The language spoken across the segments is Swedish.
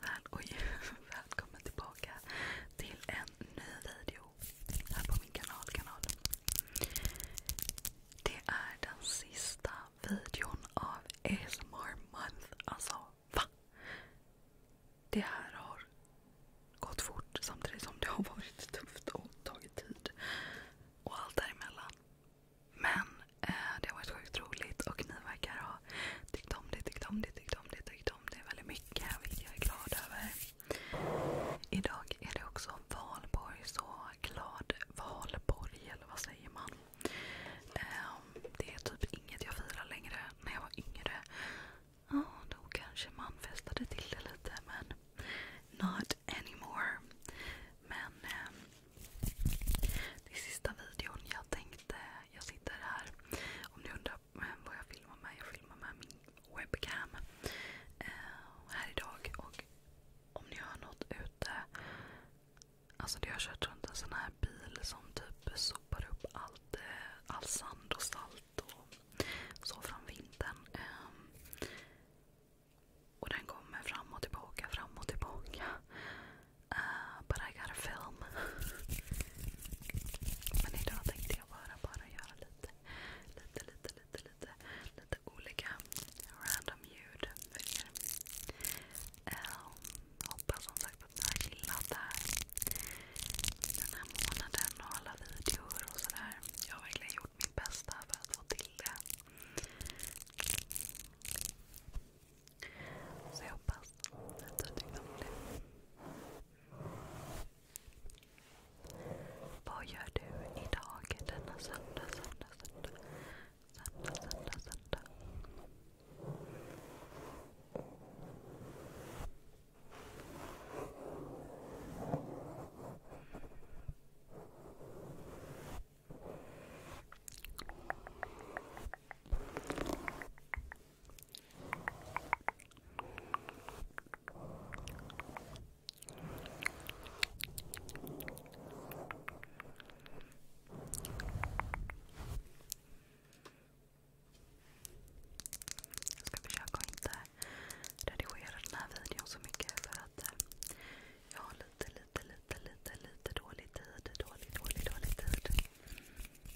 välkommen tillbaka till en ny video här på min kanal. Det är den sista videon av ASMR month. Alltså, va? Det här har gått fort samtidigt som det har varit tufft och tagit tid. Och allt däremellan. Men eh, det har varit sjukt roligt och ni verkar ha tyckt om det, tyckt om det, tyckt om det, om det väldigt mycket, vilket jag är glad över. Idag är det också valborg, så glad valborg, eller vad säger man? Ehm, det är typ inget jag firar längre. När jag var yngre, då kanske man festade till det lite, men not anymore. Men ehm, det är sista videon jag tänkte, jag sitter här om ni undrar eh, vad jag filmar med? Jag filmar med min webcam eh, här idag. Och om ni hör något ute. Alltså har kört runt en sån här bil som typ sopar upp eh, all sand och salt från vintern. Ehm, och den kommer fram och tillbaka, fram och tillbaka. Uh, but I gotta film. Men idag tänkte jag bara, bara göra lite, lite, lite, lite, lite, lite olika random ljud för er. Um, hoppas som sagt att ni har gillat det här. Den här månaden och alla videor och sådär. Jag har verkligen gjort mitt bästa för att få till det. Så jag hoppas att du tyckte om det. Vad gör du idag denna söndag, söndag, söndag? Söndag, söndag, söndag. Vad jag ska försöka att inte redigera den här videon så mycket för att eh, jag har lite, lite, lite, lite, lite dålig tid. Dålig, dålig, dålig tid.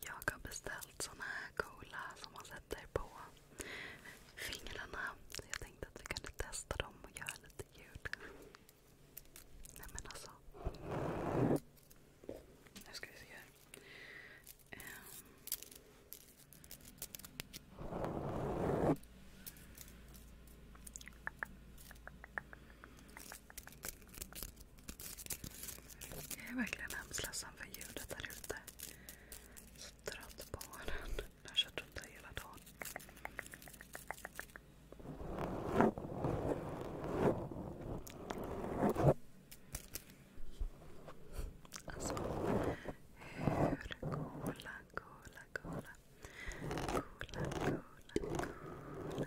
Jag har beställt såna här coola som man sätter på fingrarna. Så jag tänkte att vi kunde testa dem och göra lite ljud. Nej men alltså. Nu ska vi se här. Um. Jag är verkligen hemskt ledsen ljudet där Så trött på den. Jag har kört runt här hela dagen. Alltså, hur coola, coola, coola. Coola, coola, coola.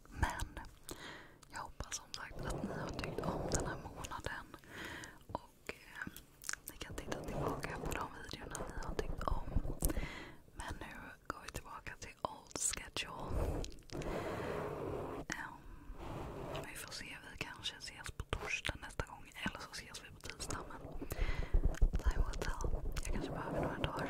Men jag hoppas som sagt att ni har tyckt om den här månaden. Och eh, ni kan titta tillbaka på de videorna ni har tyckt om. Men nu går vi tillbaka till old schedule. Ehm, vi får se, vi kanske ses på torsdag nästa gång. Eller så ses vi på tisdag. time will tell. Jag kanske behöver några dagar.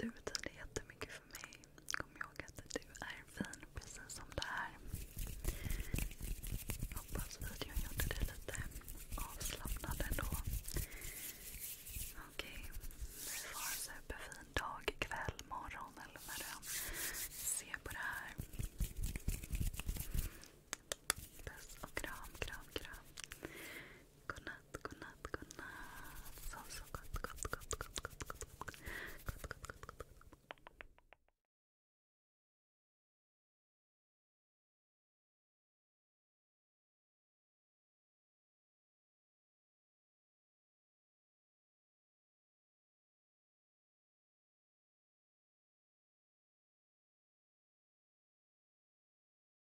Du betyder jättemycket för mig. Kom ihåg att du är fin precis som du är. Hoppas videon gjorde dig lite avslappnad ändå. Okej, du får en superfin dag, kväll, morgon eller när du ser på det här. Puss och kram, kram, kram. good night, good night, good night. So, so good, good, good, good, good, good, good, good, good, good, good.